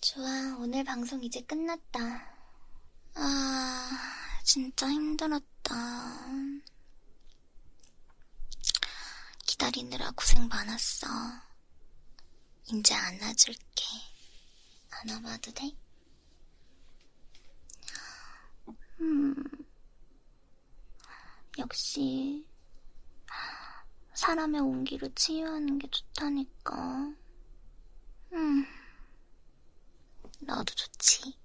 좋아, 오늘 방송 이제 끝났다. 아, 진짜 힘들었다. 기다리느라 고생 많았어. 이제 안아줄게. 안아봐도 돼? 음, 역시, 사람의 온기를 치유하는 게 좋다니까. 음, 너도 좋지.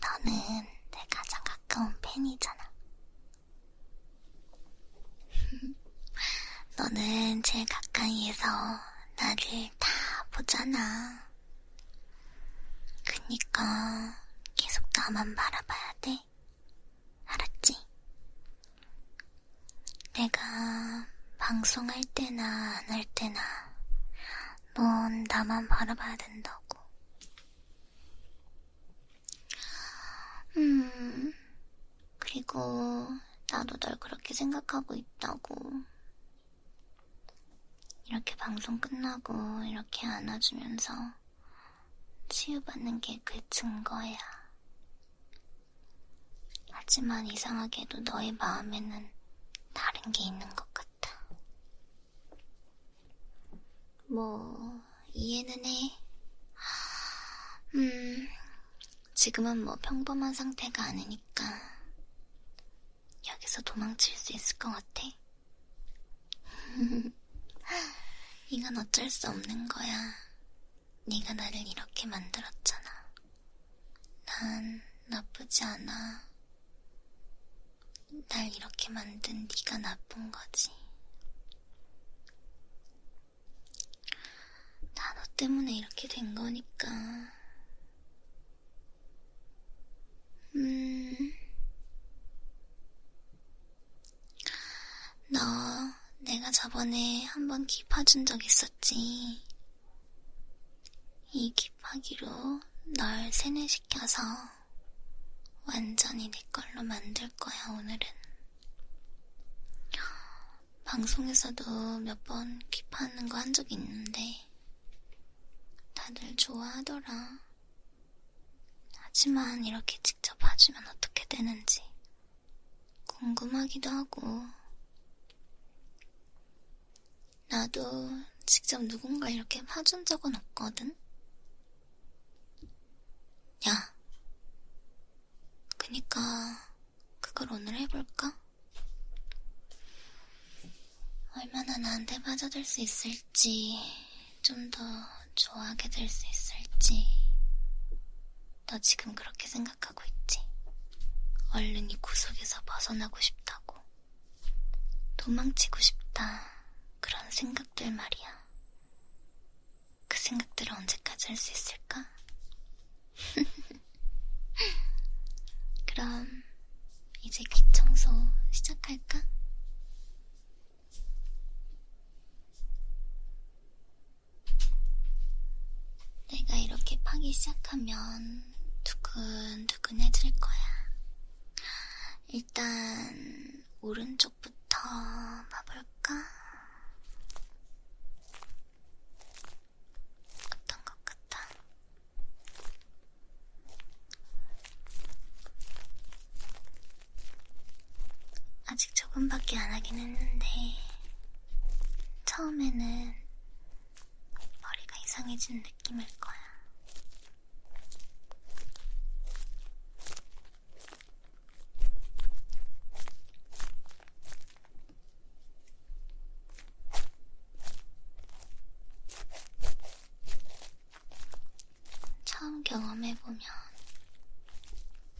너는 내 가장 가까운 팬이잖아. 너는 제일 가까이에서 나를 다 보잖아. 그니까 계속 나만 바라봐야 돼. 해. 알았지? 내가 방송할 때나 안 할 때나 넌 나만 바라봐야 된다고. 음, 그리고 나도 널 그렇게 생각하고 있다고. 이렇게 방송 끝나고 이렇게 안아주면서 치유받는 게 그 증거야. 하지만 이상하게도 너의 마음에는 다른 게 있는 것 같아. 뭐, 이해는 해. 음, 지금은 뭐 평범한 상태가 아니니까 여기서 도망칠 수 있을 것 같아. 이건 어쩔 수 없는 거야. 네가 나를 이렇게 만들었잖아. 난 나쁘지 않아. 날 이렇게 만든 네가 나쁜 거지. 나 너 때문에 이렇게 된 거니까. 음, 너 내가 저번에 한번 깁파준 적 있었지? 이 깁파기로 널 세뇌시켜서 완전히 내 걸로 만들 거야, 오늘은. 방송에서도 몇번 깁파하는 거 한 적이 있는데, 다들 좋아하더라. 하지만 이렇게 직접 봐주면 어떻게 되는지 궁금하기도 하고, 나도 직접 누군가 이렇게 파준 적은 없거든? 야, 그니까 그걸 오늘 해볼까? 얼마나 나한테 빠져들 수 있을지 좀더 좋아하게 될 수 있을지. 너 지금 그렇게 생각하고 있지? 얼른 이 구석에서 벗어나고 싶다고. 도망치고 싶다. 그런 생각들 말이야. 그 생각들을 언제까지 할 수 있을까? 그럼 이제 귀 청소 시작할까? 내가 이렇게 파기 시작하면 두근두근해질 거야. 일단 오른쪽부터 봐볼까? 어떤 것 같아? 아직 조금밖에 안 하긴 했는데, 처음에는 머리가 이상해진 느낌일 거야. 처음 경험해보면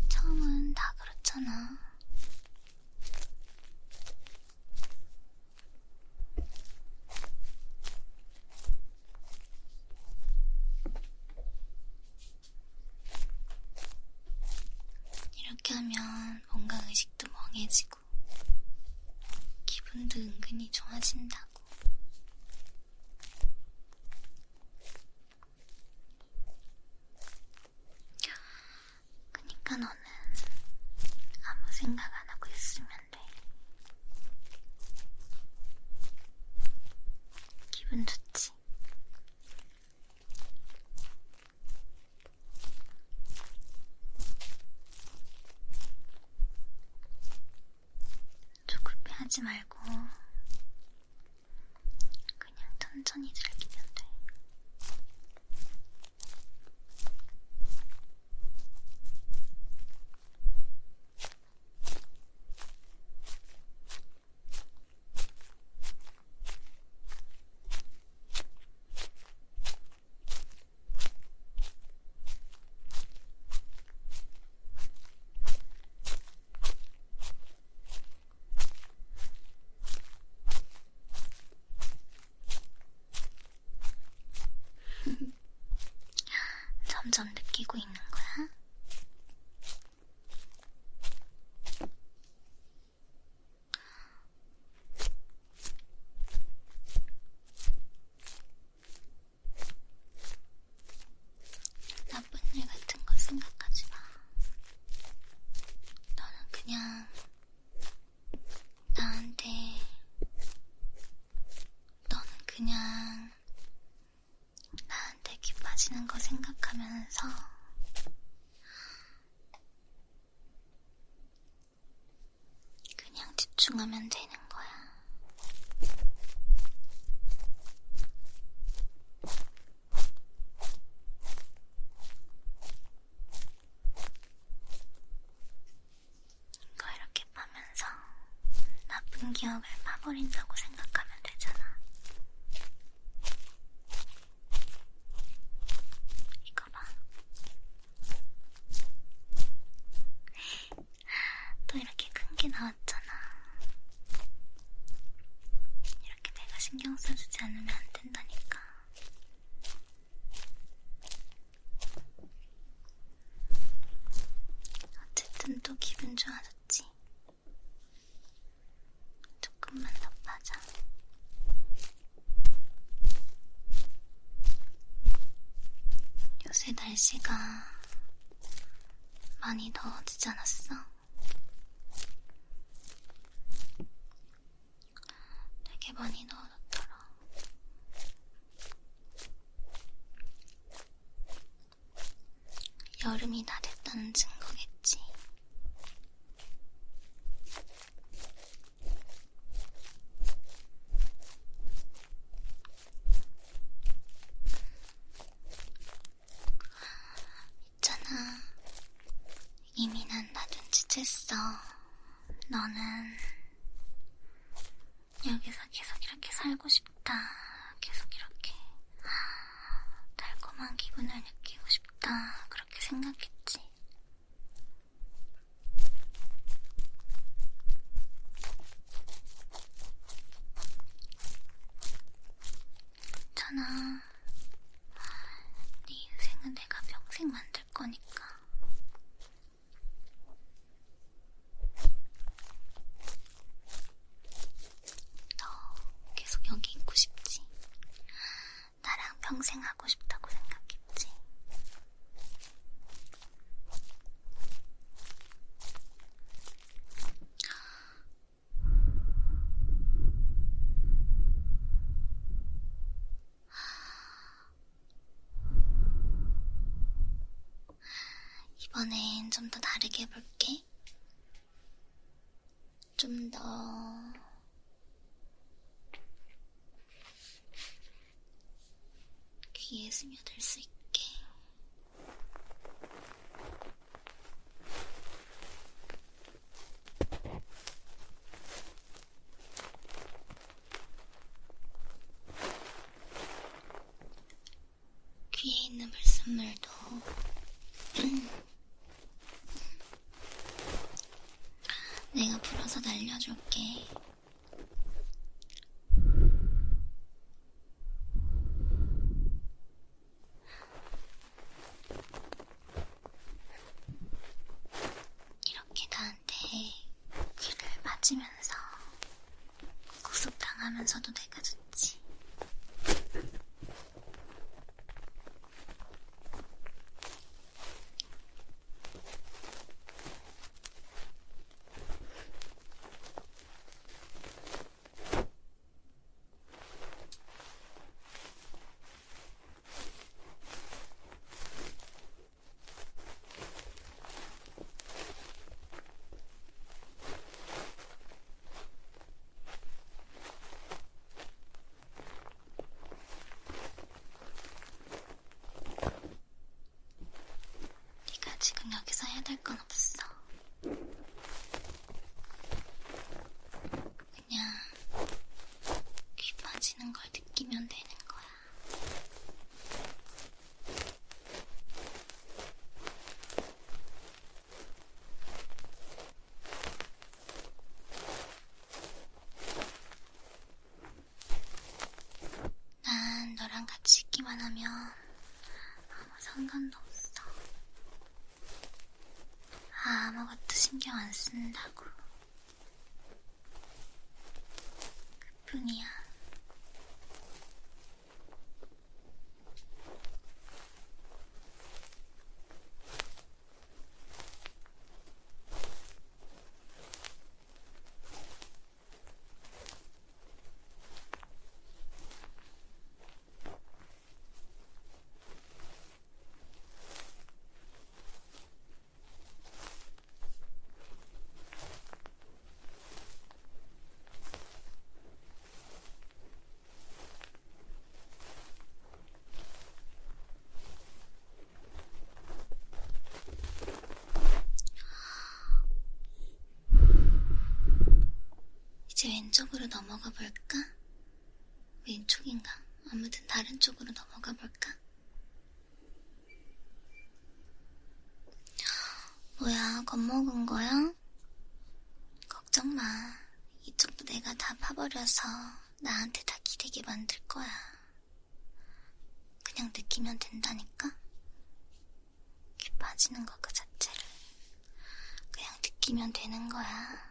처음은 다 그렇잖아. 이렇게 하면 뭔가 의식도 멍해지고, 기분도 은근히 좋아진다고. 그니까 너는 아무 생각 안 하고 있으면 돼. 기분 좋지? 조급해 하지 말고 그냥 천천히 즐기면 돼. 음. 점점 느끼고 있는 거야? 나쁜 일 같은 거 생각하지 마. 너는 그냥 나한테 너는 그냥 나한테 기빠지는 거 생각하면서 그냥 집중하면 되는 거야. 이거 이렇게 파면서 나쁜 기억을 파버린다고 생각하면 되잖아. 이거 봐. 또 이렇게 큰 게 나와. 나왔잖아. 이렇게 내가 신경 써주지 않으면 안 된다니까. 어쨌든 또 기분 좋아졌지. 조금만 더 빠져. 요새 날씨가 많이 더워지지 않았어? 되게 많이 넣어놨더라. 여름이 다 됐다는 증거겠지. 있잖아. 이미 난다 눈치챘어. 너는 여기서 계속 이렇게 살고 싶다. 계속 이렇게 달콤한 기분을 느끼고 싶다. 그렇게 생각했지. 있잖아. 네 인생은 내가 평생 만들 거니까. 너 계속 여기 있고 싶지? 나랑 평생 하고 싶다고 생각했지? 이번엔 좀 더 다르게 해볼게. 좀 더, 귀에 스며들 수 있게. 귀에 있는 불순물도 내가 풀어서 날려줄게. 이렇게 나한테 귀를 맞으면서 구속당하면서도 내가 좋지. 네가 지금 여기서 해야 될 건 없어. 그냥 귀 빠지는 걸 느끼면 되는 거야. 난 너랑 같이 있기만 하면 아무 상관도 없어. 아, 아무것도 신경 안 쓴다고. 그뿐이야. 이제 왼쪽으로 넘어가 볼까? 왼쪽인가? 아무튼 다른 쪽으로 넘어가 볼까? 뭐야, 겁먹은 거야? 걱정 마. 이쪽도 내가 다 파버려서 나한테 다 기대게 만들 거야. 그냥 느끼면 된다니까? 이렇게 빠지는 것그 자체를. 그냥 느끼면 되는 거야.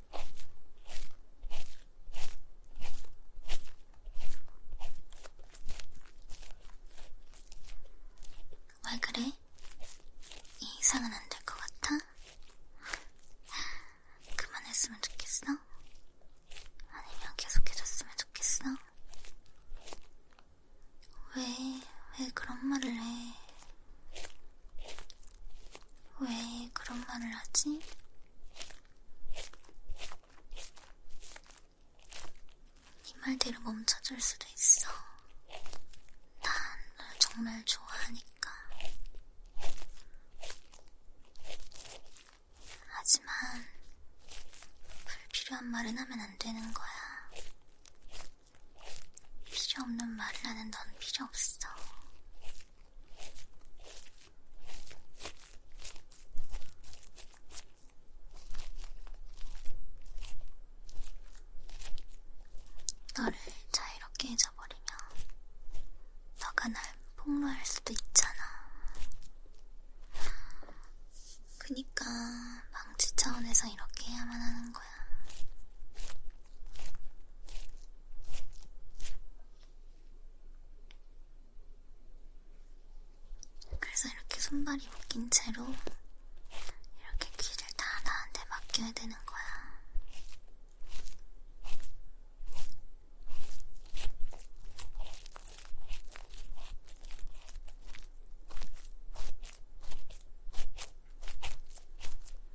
왜 그래? 이상은 안 될 것 같아? 그만했으면 좋겠어? 아니면 계속해줬으면 좋겠어? 왜, 왜 그런 말을 해? 왜 그런 말을 하지? 이 말대로 멈춰줄 수도 있어. 난 널 정말 좋아하니까. 하지만 불필요한 말은 하면 안 되는 거야. 필요 없는 말을 하는 넌 필요 없어. 너를 자유롭게 잊어버리면 너가 날 폭로할 수도 있잖아. 그니까 방지 차원에서 이렇게 해야만 하는 거야. 그래서 이렇게 손발이 묶인 채로 이렇게 귀를 다 나한테 맡겨야 되는 거야.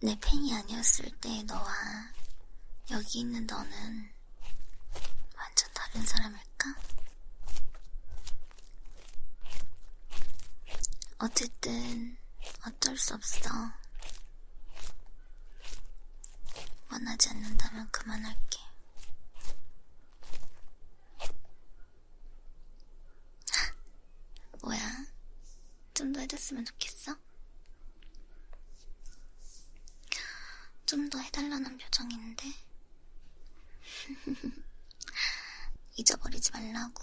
내 팬이 아니었을 때 너와 여기 있는 너는 완전 다른 사람일까? 어쨌든 어쩔 수 없어. 원하지 않는다면 그만할게. 뭐야? 좀 더 해줬으면 좋겠어? 좀 더 해달라는 표정인데? 잊어버리지 말라고.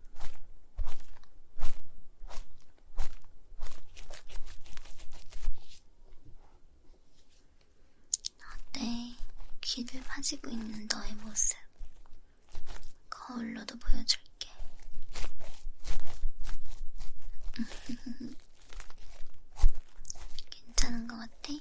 어때? 귀를 파지고 있는 너의 모습 거울로도 보여줄게. 괜찮은 것 같아?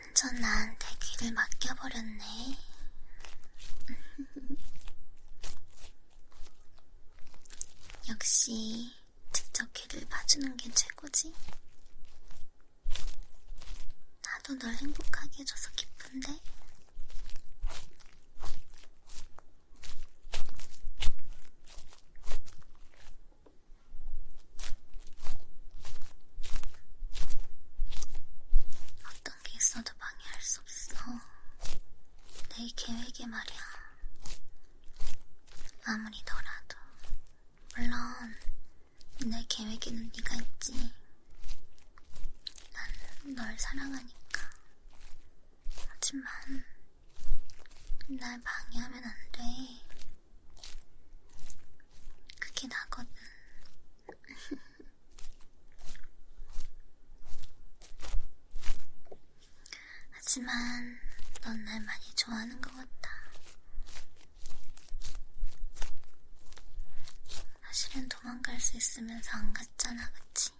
완전 나한테 귀를 맡겨버렸네. 역시 직접 걔를 봐주는 게 최고지. 나도 널 행복하게 해줘서 기쁜데. 어떤 게 있어도 방해할 수 없어. 내 계획에 말이야. 아무리 더라도 물론 내 계획에는 네가 있지. 난 널 사랑하니까. 하지만 날 방해하면 안 돼. 그게 나거든. 하지만 넌 날 많이 좋아하는 것 같다. 사실은 도망갈 수 있으면서 안 갔잖아, 그치?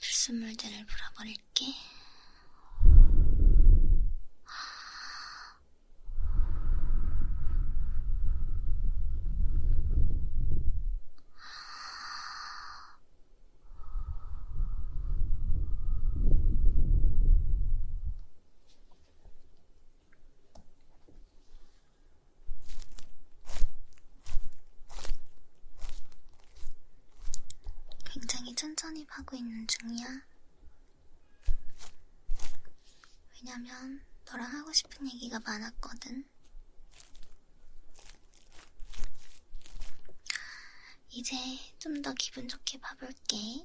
불순물들을 물어버릴 해줄게. 굉장히 천천히 파고 있는 중이야. 왜냐면 너랑 하고 싶은 얘기가 많았거든. 이제 좀 더 기분 좋게 봐볼게.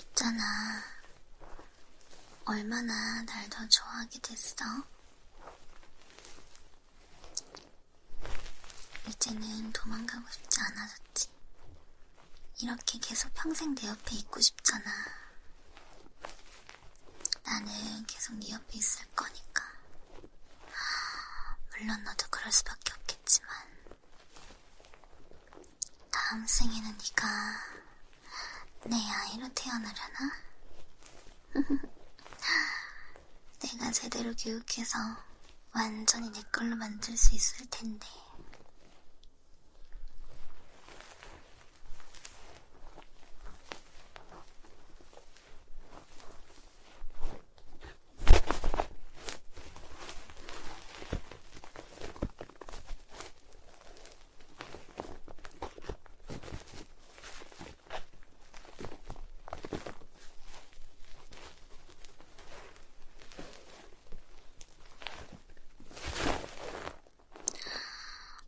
있잖아. 얼마나 날 더 좋아하게 됐어? 이제는 도망가고 싶지 않아졌지. 이렇게 계속 평생 내 옆에 있고 싶잖아. 나는 계속 네 옆에 있을 거니까. 물론 너도 그럴 수밖에 없겠지만. 다음 생에는 네가 내 아이로 태어나려나? 내가 제대로 교육해서 완전히 내 걸로 만들 수 있을 텐데.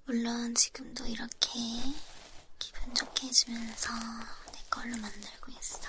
물론 지금도 이렇게 기분 좋게 해주면서 내 걸로 만들고 있어.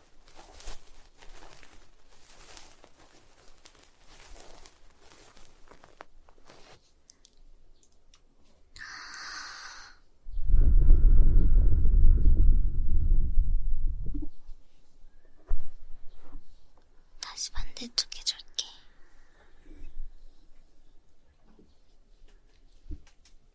다시 반대쪽 해줄게.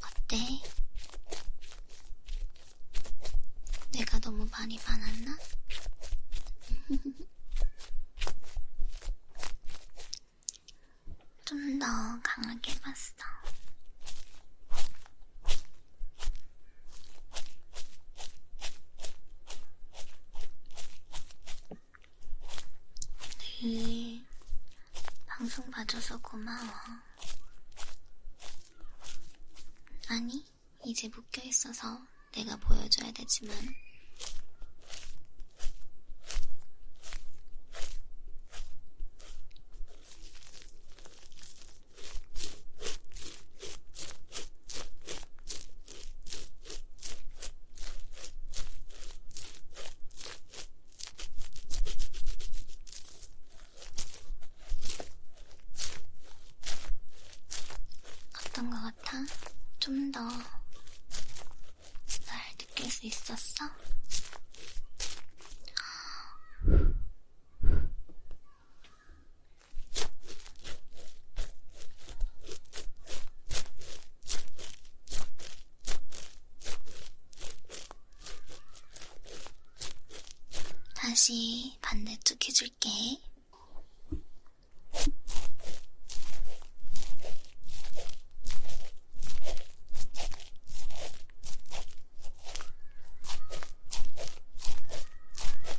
어때? 내가 너무 많이 반았나? 좀 더 강하게 봤어. 네, 방송 봐줘서 고마워. 아니, 이제 묶여있어서 내가 보여줘야 되지만. 어떤 것 같아? 좀 더 날 느낄 수 있었어? 다시 반대쪽 해줄게.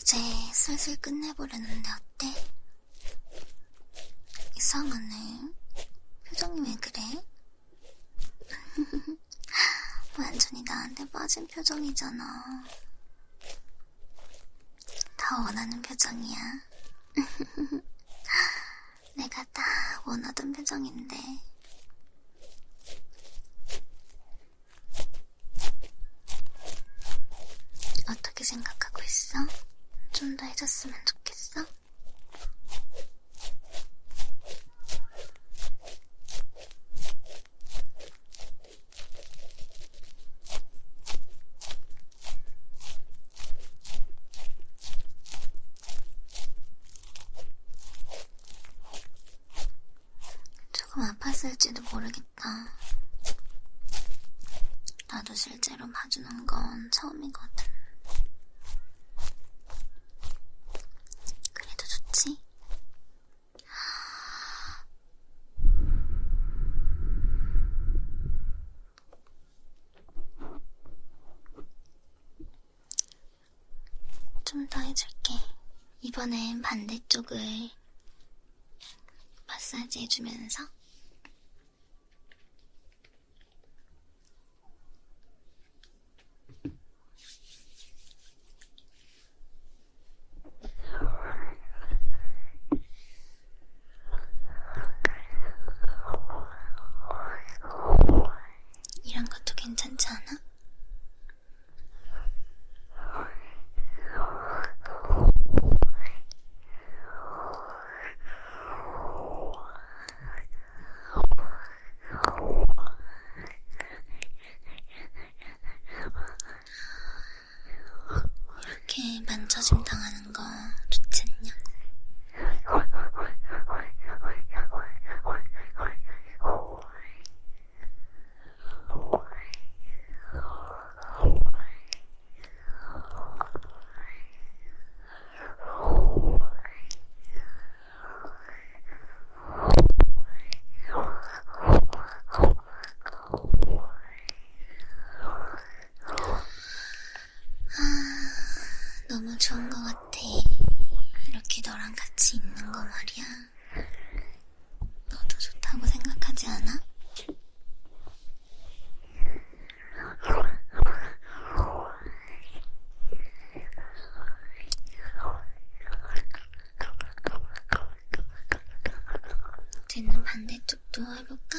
이제 슬슬 끝내보려는데 어때? 이상하네. 표정이 왜 그래? 완전히 나한테 빠진 표정이잖아. 다 원하는 표정이야. 내가 다 원하던 표정인데. 어떻게 생각하고 있어? 좀 더 해줬으면 좋겠어? 조금 아팠을지도 모르겠 보니까 나도 실제로 봐주는 건 처음이거든. 그래도 좋지? 좀 더 해줄게. 이번엔 반대쪽을 마사지 해주면서 이런 것도 괜찮지 않아? 이렇게 만져짐 당하는 거 좋지 않냐? 아, 너무 좋은 것 같아. 이렇게 너랑 같이 있는 거 말이야. 너도 좋다고 생각하지 않아? 쟤는 반대쪽도 해볼까?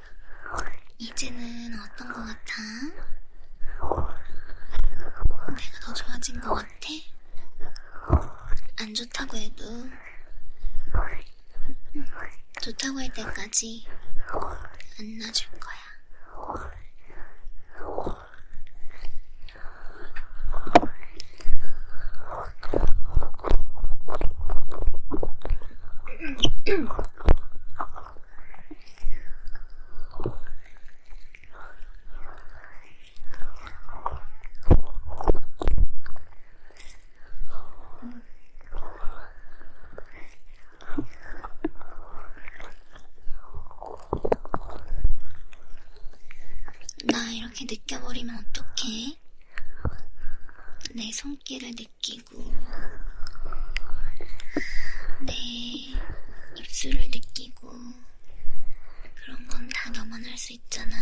이제는 어떤 것 같아? 내가 더 좋아진 것 같아? 안 좋다고 해도 좋다고 할 때까지 안 놔줄 거야. 나 이렇게 느껴버리면 어떡해? 내 손길을 느껴 느끼고 내 네, 입술을 느끼고 그런 건 다 너만 할 수 있잖아.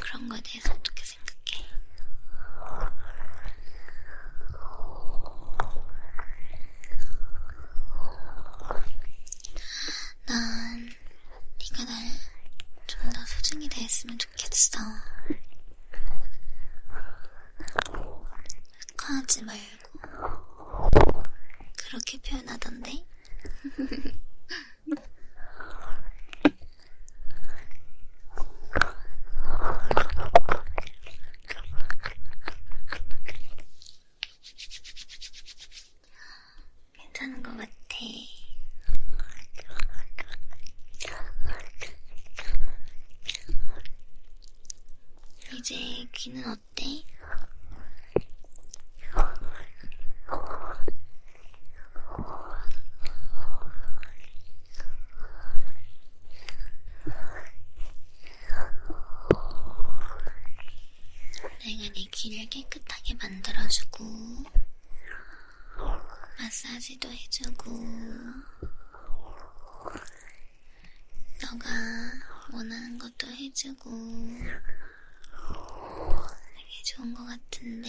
그런 거에 대해서 어떻게 생각해? 난 네가 날 좀 더 소중히 대했으면 좋겠어. 화하지 말고 그렇게 표현하던데. 괜찮은 것 같아. 이제 귀는 어때? 내가 네 귀를 깨끗하게 만들어주고 마사지도 해주고, 너가 원하는 것도 해주고, 되게 좋은 것 같은데,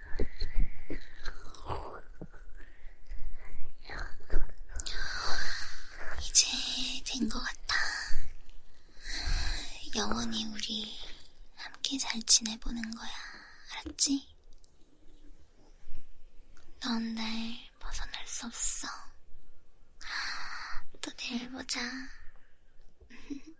이제 된것 같아. 영원히 우리 함께 잘 지내보는 거야. 알았지? 넌 날 벗어날 수 없어. 또 내일 보자.